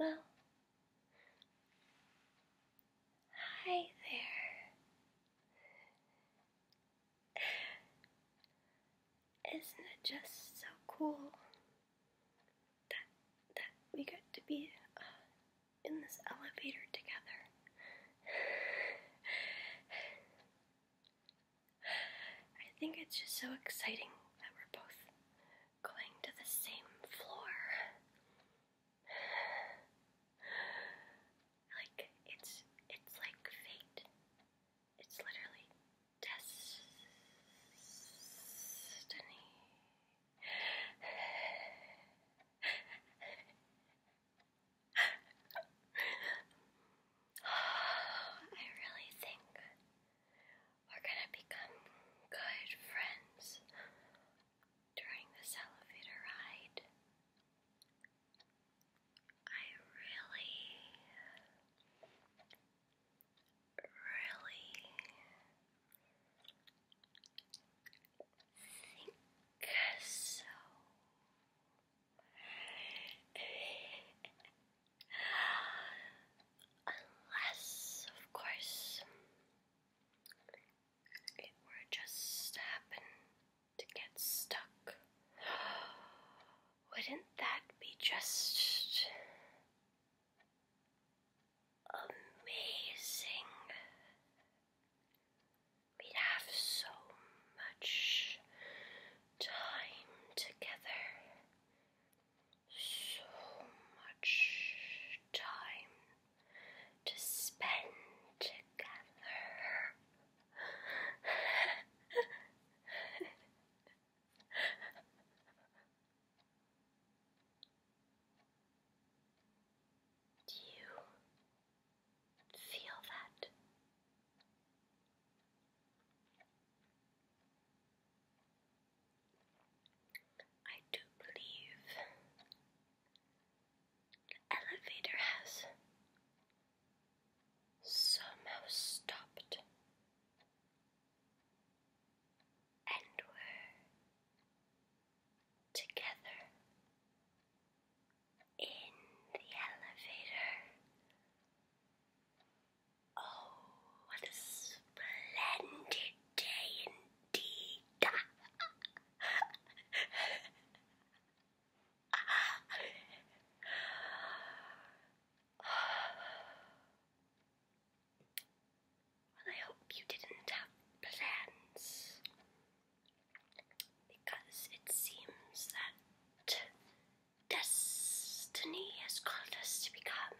Well, hi there. Isn't it just so cool that that we got to be uh, in this elevator together. I think it's just so exciting that we're both going to the same floor. Like it's it's like fate. It's literally destiny. I really think we're gonna become good friends during this elevator ride. I really really think so. Unless, of course, it were just happen to get stuck wouldn't that be just amazing? We'd have so much time together. So much time to spend together. Do you feel that? I do believe the elevator has somehow stopped and were together in the elevator. Oh, what a splendid day indeed! Well, I hope you didn't have plans because it seems that destiny has called us to become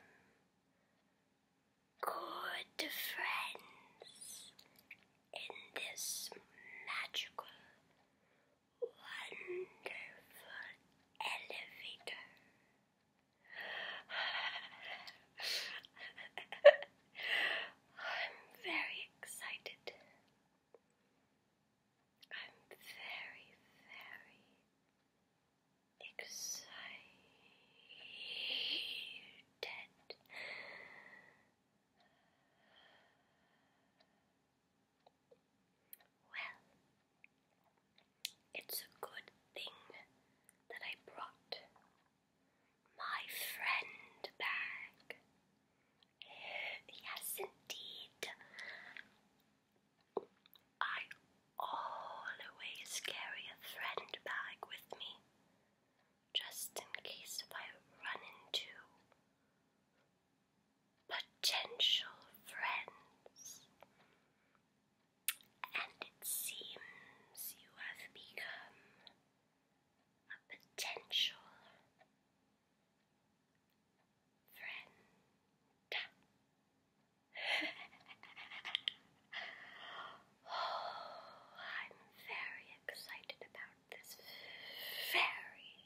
good friends in this magical wonderful elevator. I'm very excited. I'm very, very excited. Well, it's a good thing that I brought my friend back. Yes, indeed. I always carry a friend bag with me, just in case if I run into potential friends, and it seems you have become a potential friend. oh, I'm very excited about this. Very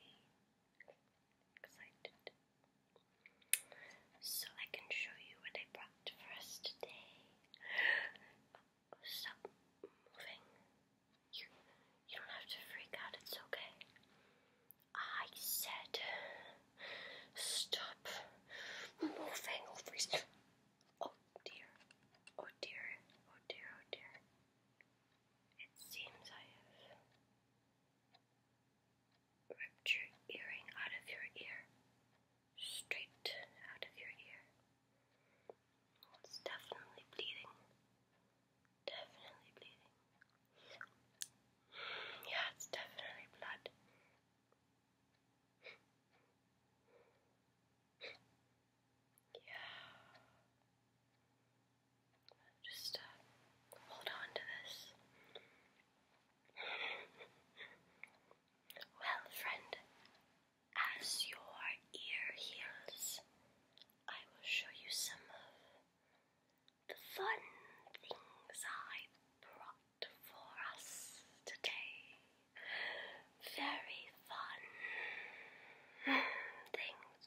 excited. So I can show you what I brought for us today. stop moving. You, you don't have to freak out, it's okay. I said, stop moving over. Oh dear, oh dear, oh dear, oh dear. It seems I have ripped your earring out of your ear, straight out of your ear. Oh, it's definitely bleeding. Definitely bleeding. Yeah, it's definitely blood. Yeah. Just uh, hold on to this. well, friend, as your ear heals, I will show you some of the fun things I brought for us today. Very fun things.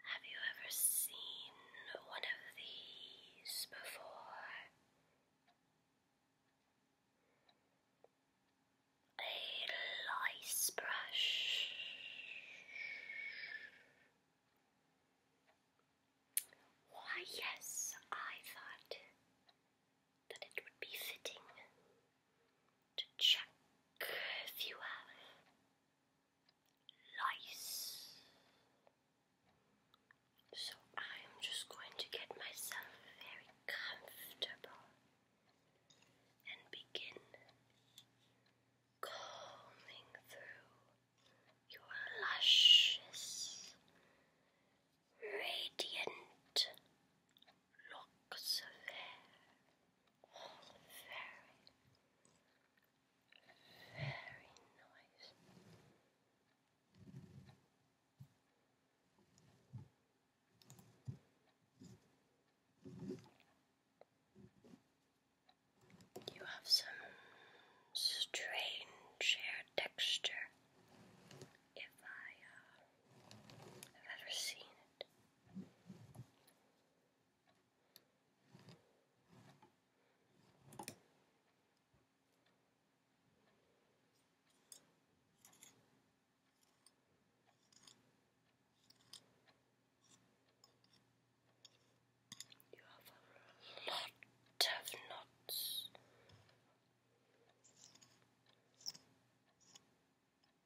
Have you ever seen one of these before? A lice brush. Why, yes, I thought that it would be fitting to check if you have lice. So I am just going to get myself very comfortable and begin combing through your luscious, radiant look severe very, very nice. You have some strange hair texture. If I have uh, ever seen it, you have a lot of knots.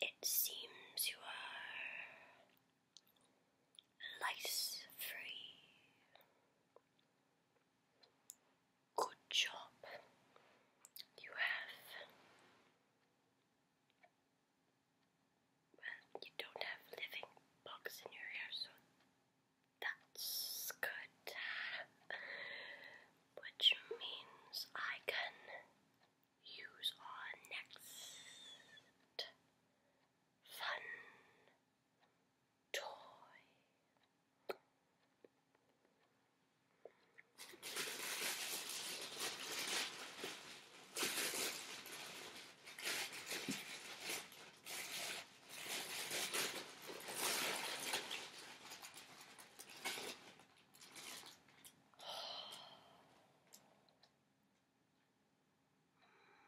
It seems you are lice free. Good job. You have. Well, you don't have living bugs in your hair, so that's good. Which means I can use our next fun toy.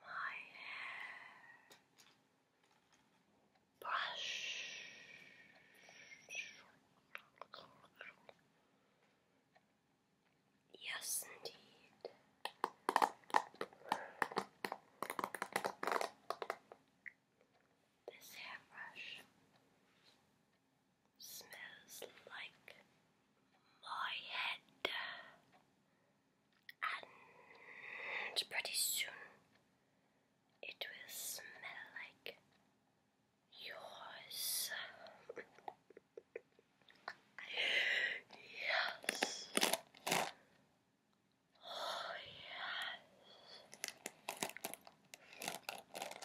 My hair brush. Yes, indeed. This hairbrush Smells like my head. And pretty soon it will smell like yours. yes. Oh, yes.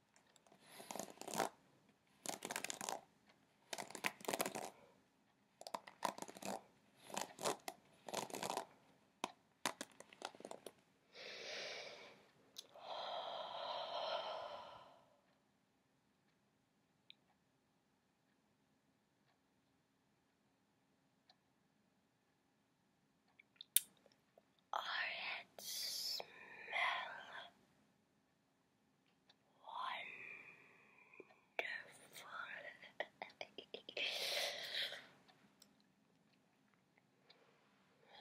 Orange smell Wonderful.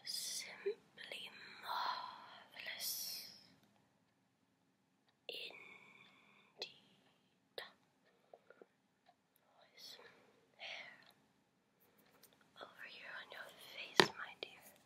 Simply marvelous. Indeed. Voice. Hair. Over here on your face, my dear.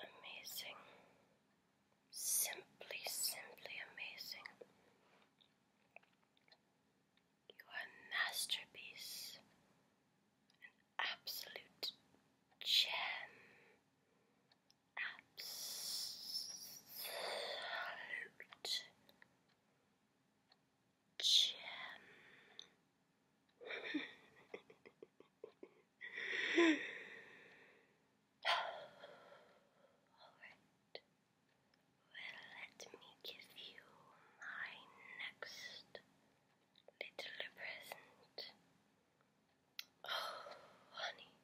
Amazing, simply, simply amazing. You are a masterpiece, an absolute gem, absolute gem. All right. Well, let me give you my next little present. Oh, honey,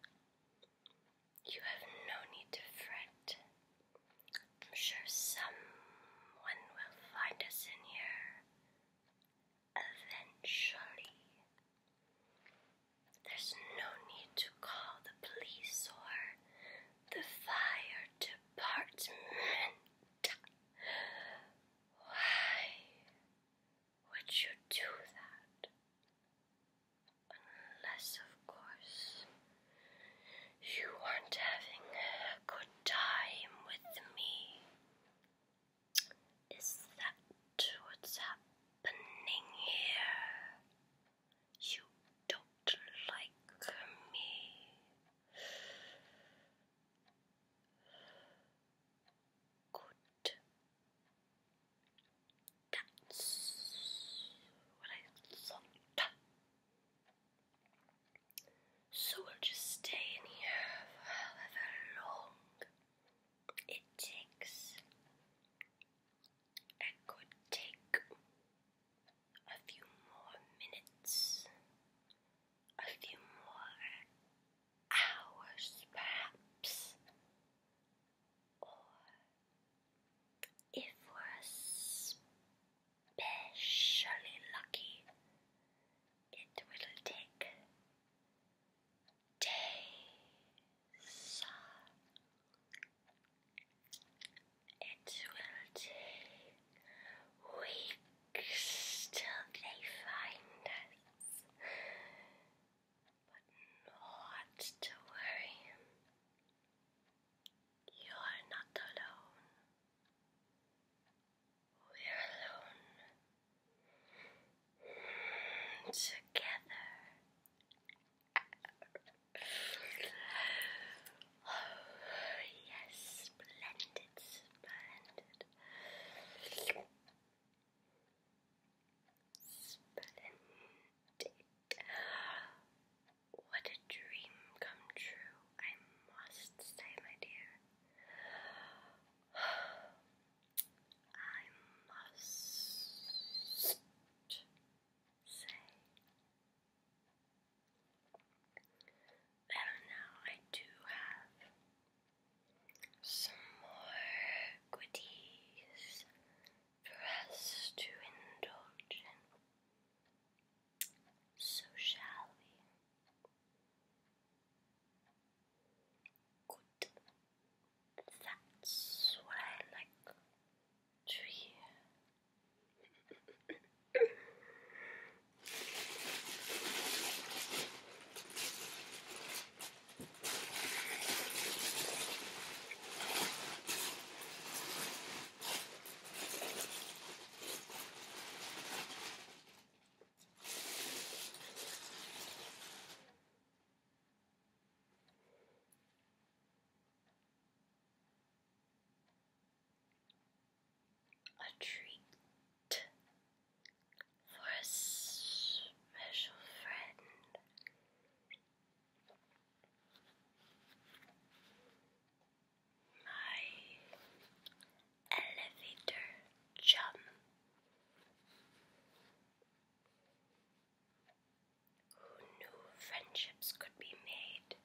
you have no need to fret. I'm sure someone will find us in here eventually. There's no need to call the police or the fire department. Why would you do that? Unless, of course, you aren't having a good time with me. Is that what's happening here? You don't like me. Good that's what I thought. So we'll just stay in here for however long it takes. It could take a few more minutes, a few more hours perhaps or if we're especially lucky, it will take days. It will take weeks till they find us. But not to worry. You're not alone. We're alone. Together. Oh, yes, splendid, splendid. Splendid. What a dream come true, I must say, my dear. I must say. Well, now I do have some more goodies for us to indulge in. So shall we? Good. That's what I like to hear. A treat for a special friend. My elevator chum who knew friendships could be made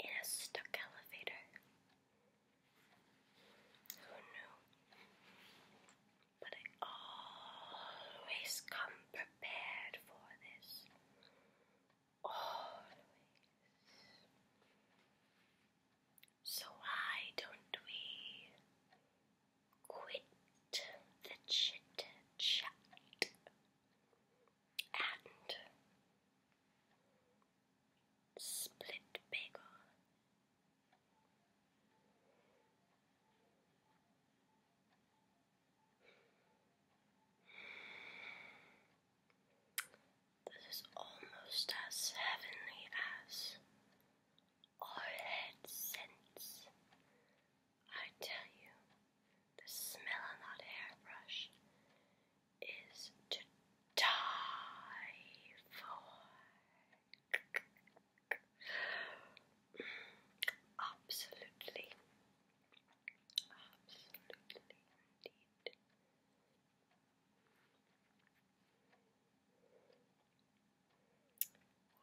in a stuck elevator. Who knew? But I always come prepared for this. Always. So why don't we quit the chit chat and split bagel this is almost as heavenly as our head scents. I tell you, the smell of that hairbrush is to die for. Absolutely. Absolutely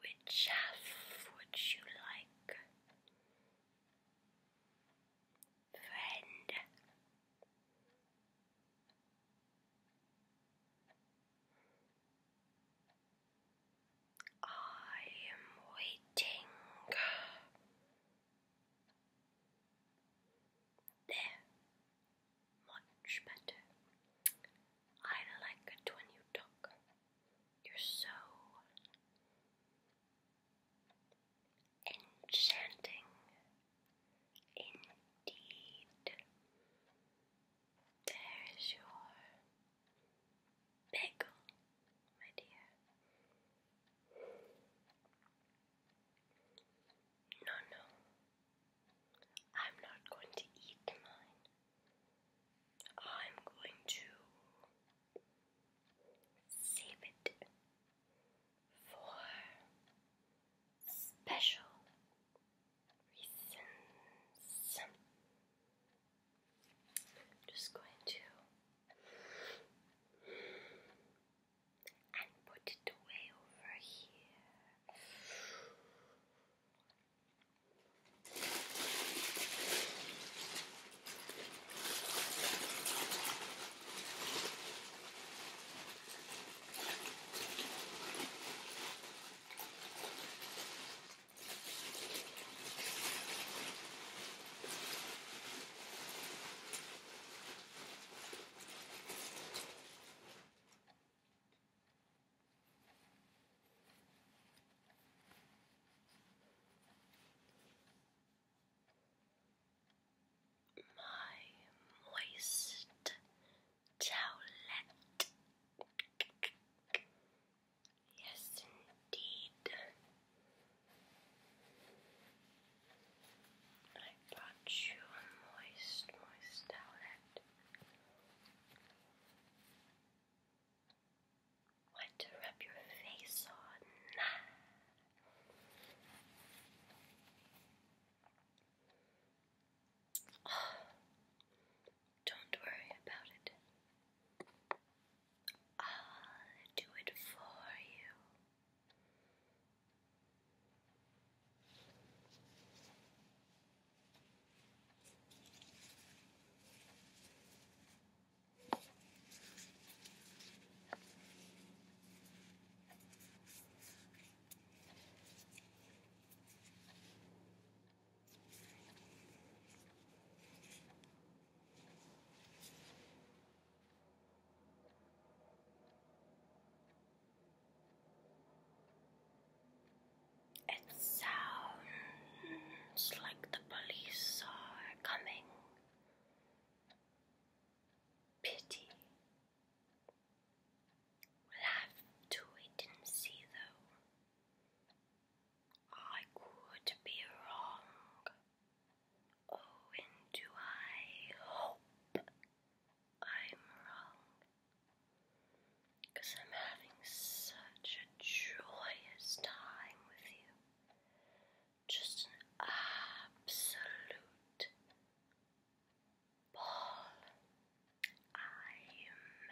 Which half would you like? Friend. I am waiting. There, much better. I like it when you talk. You're so enchanting, indeed. There's your bagel, my dear. No, no, I'm not going to eat mine. I'm going to save it for special reasons. i just going to and put it away over here. My moist towelette Yes, indeed. I bought you a moist, moist outlet. What to rub your face on? Ah. Don't worry about it. I'll do it for you. It sounds like the police are coming. Pity. We'll have to wait see, though. I could be wrong. Oh, and do I hope I'm wrong? Because I'm having such a joyous time with you. Just an absolute ball. I'm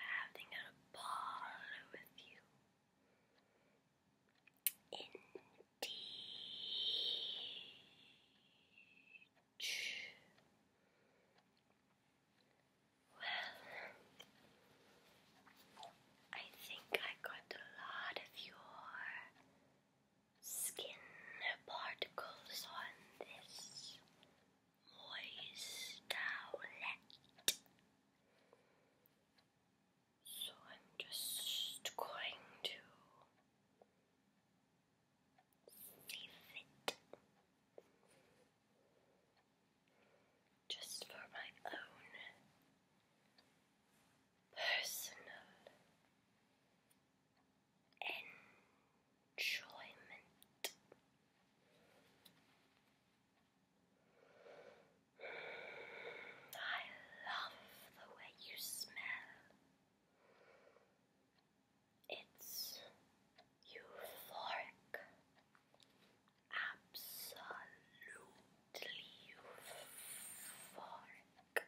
having a ball with you. Indeed. Well, I think I got a lot of your skin particles on this moist So I'm just going to sieve it just for my own personal enjoyment enjoyment. I love the way you smell. It's euphoric, absolutely euphoric.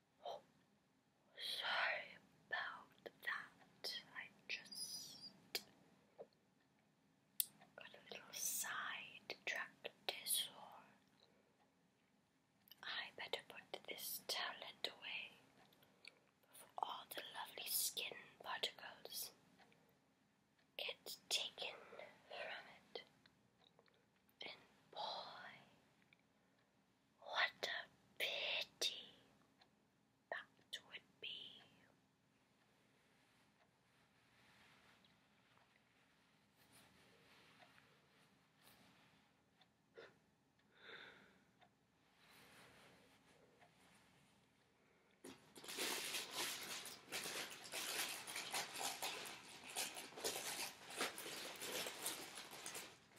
sorry about that. I just got a little side track I better put this talent away before all the lovely skin particles get taken from it. And boy, what a pity that would be.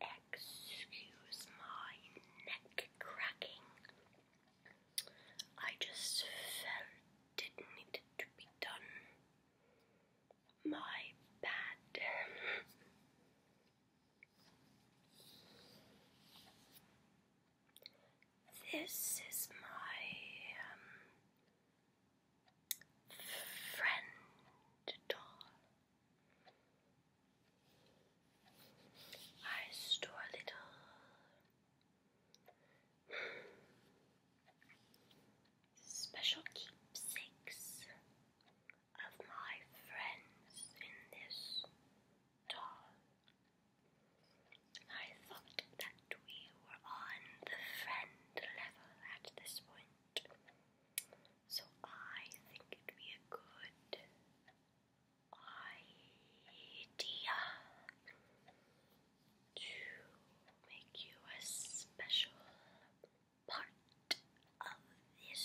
Excuse my neck cracking. I just felt it needed to be done. My bad. This is my um, friend doll. I store little special keepsakes of my friends in this doll. I thought that we were on the friend level at this point, so I think it'd be a good idea to make you a special part of this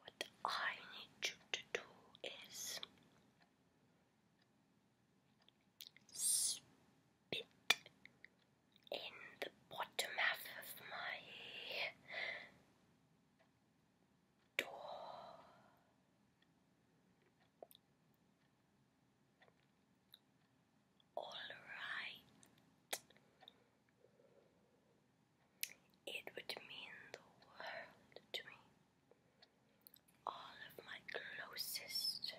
What I need you to do is spit in the bottom half of my door. All right. It would mean the world to me. All of my closest,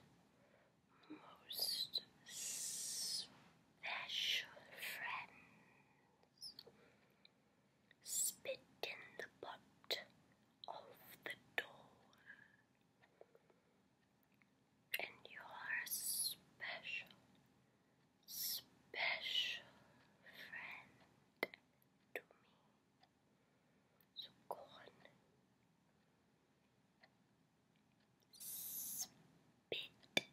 most special friends spit in the pot of the door, and you're special special friend to me. So go on. Spit.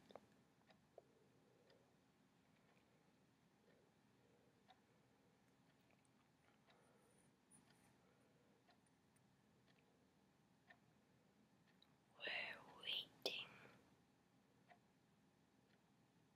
We're waiting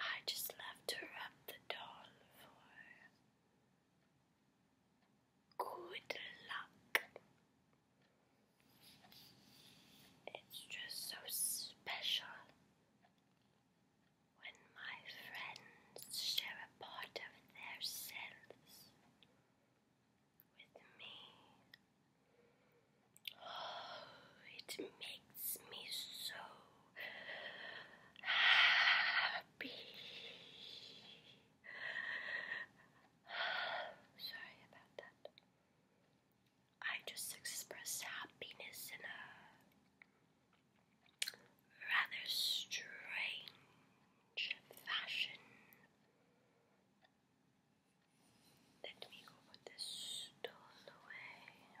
I just love to rub the doll for Good luck. It's just so special when my friends share a part of themselves with me. Oh, it makes me so happy. Sorry about that. I just express happiness in a rather strange fashion. Let me put this stool away.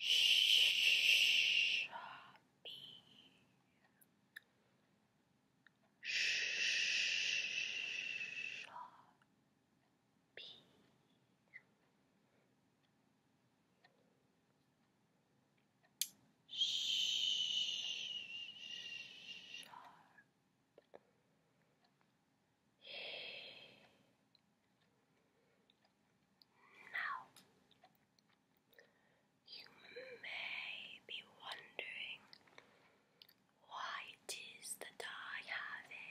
Shopee. Shopee. Sharpie. Now, you may be wondering why it is that I have a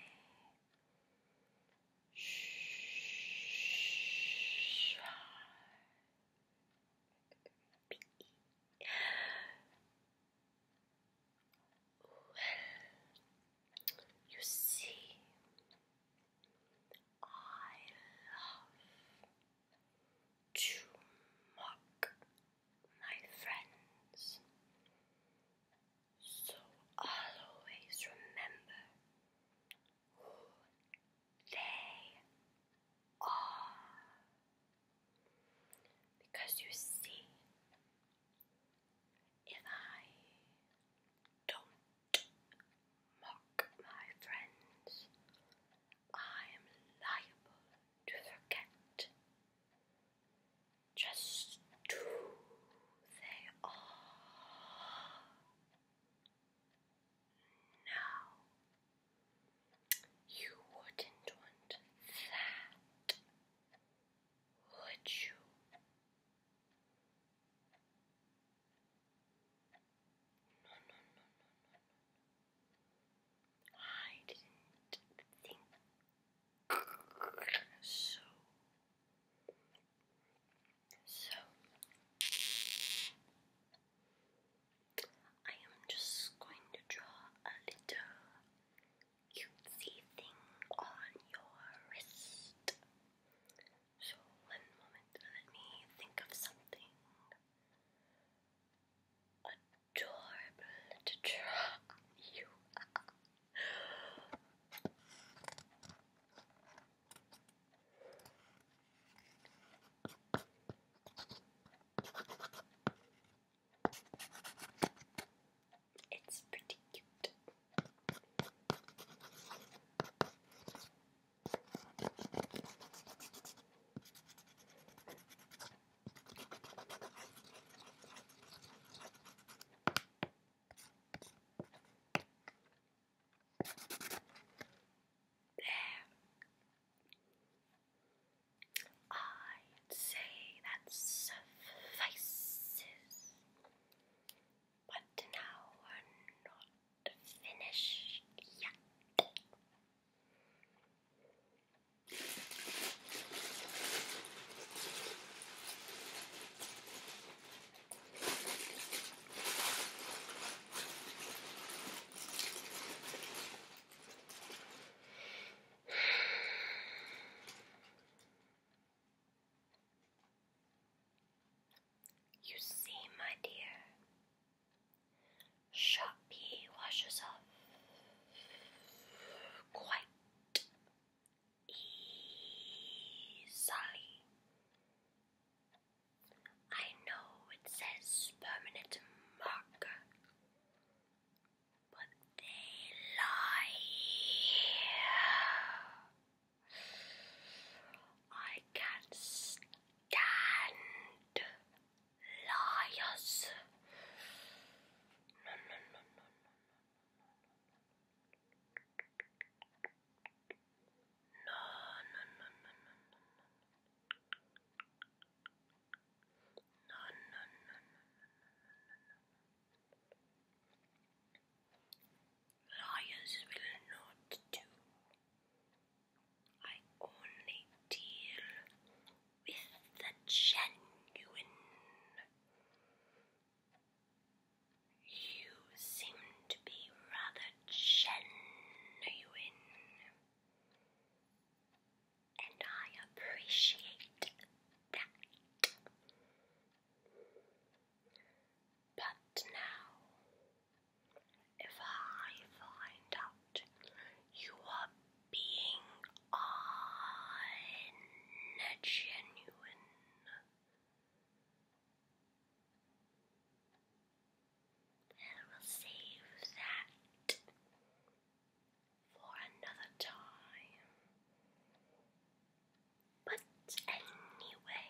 well, you see, I love to mock my friends, so I'll always remember who they are. Because you see, if I don't mock my friends, I am liable to forget just who they are. Now, you wouldn't want that, Хочу. No, no, no, no, no. I didn't think so. So, I am just going to draw a little cutesy thing on your wrist. So, one moment, let me think of something adorable to draw you. It's pretty cute. There. I'd say that suffices. But now we're not finished yet. You see, my dear, Sharpie washes off quite easily. I know it says permanent marker, but they lie I can't stand liars. no, no, no, no, no, no, no, no, no, no, no, no, no, no, no, Liars will not do. I only deal with the genuine. You seem to be rather genuine and I appreciate that. But now, if I find out you are being ungenuine, I will save that for another time. But anyway,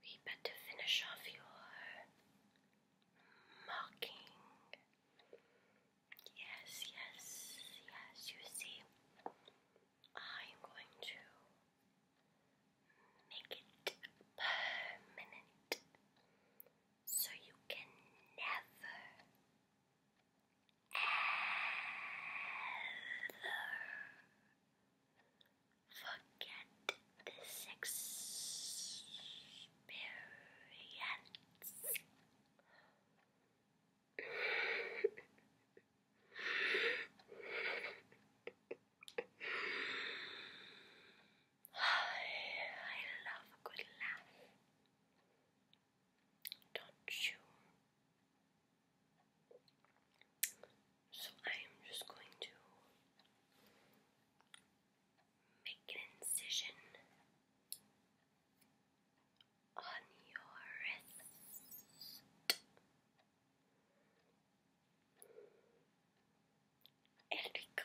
we better finish off your mocking. Yes, yes, yes, you see, I'm going to make it permanent so you can never ever forget this experience. I love a good laugh. Don't you? So I am just going to make an incision on your wrist. Erica.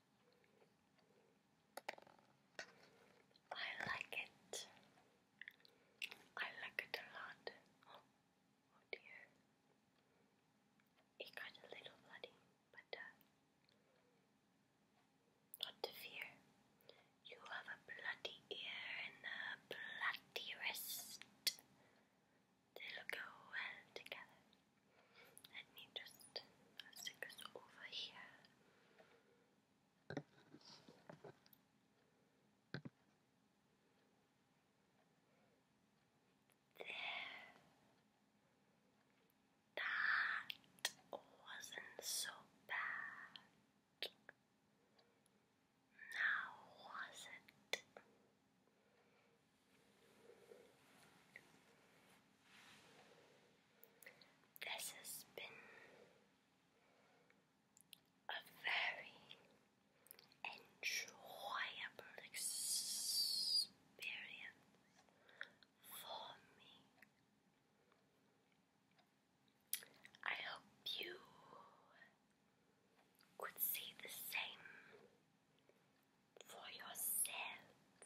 I like it. I like it a lot. Oh, dear. It got a little bloody, but uh, not to fear. You have a bloody ear and a bloody wrist. They look well together. Let me just stick this over here. There. That wasn't so bad. Now was it? This has been a very enjoyable experience for me. I hope you could see the same for yourself.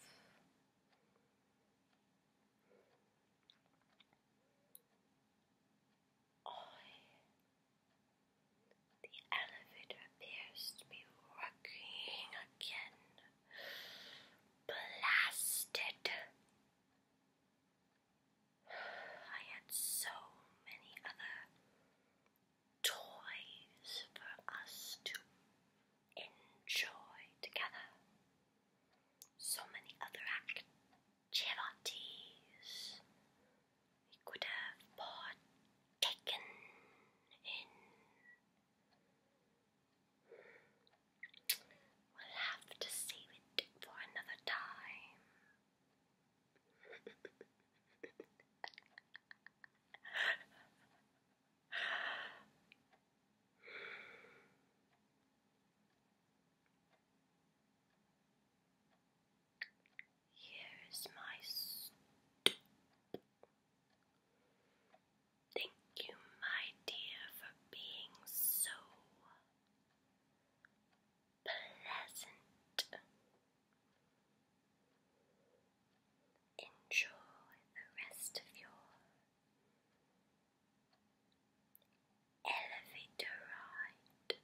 Oh, the elevator appears to be working again. Blasted. I had so many other toys for us to enjoy together. So many other activities we could have Taken in. We'll have to save it for another time. Here's my Thank you, my dear, for being so pleasant. Enjoy the rest of your elevator ride.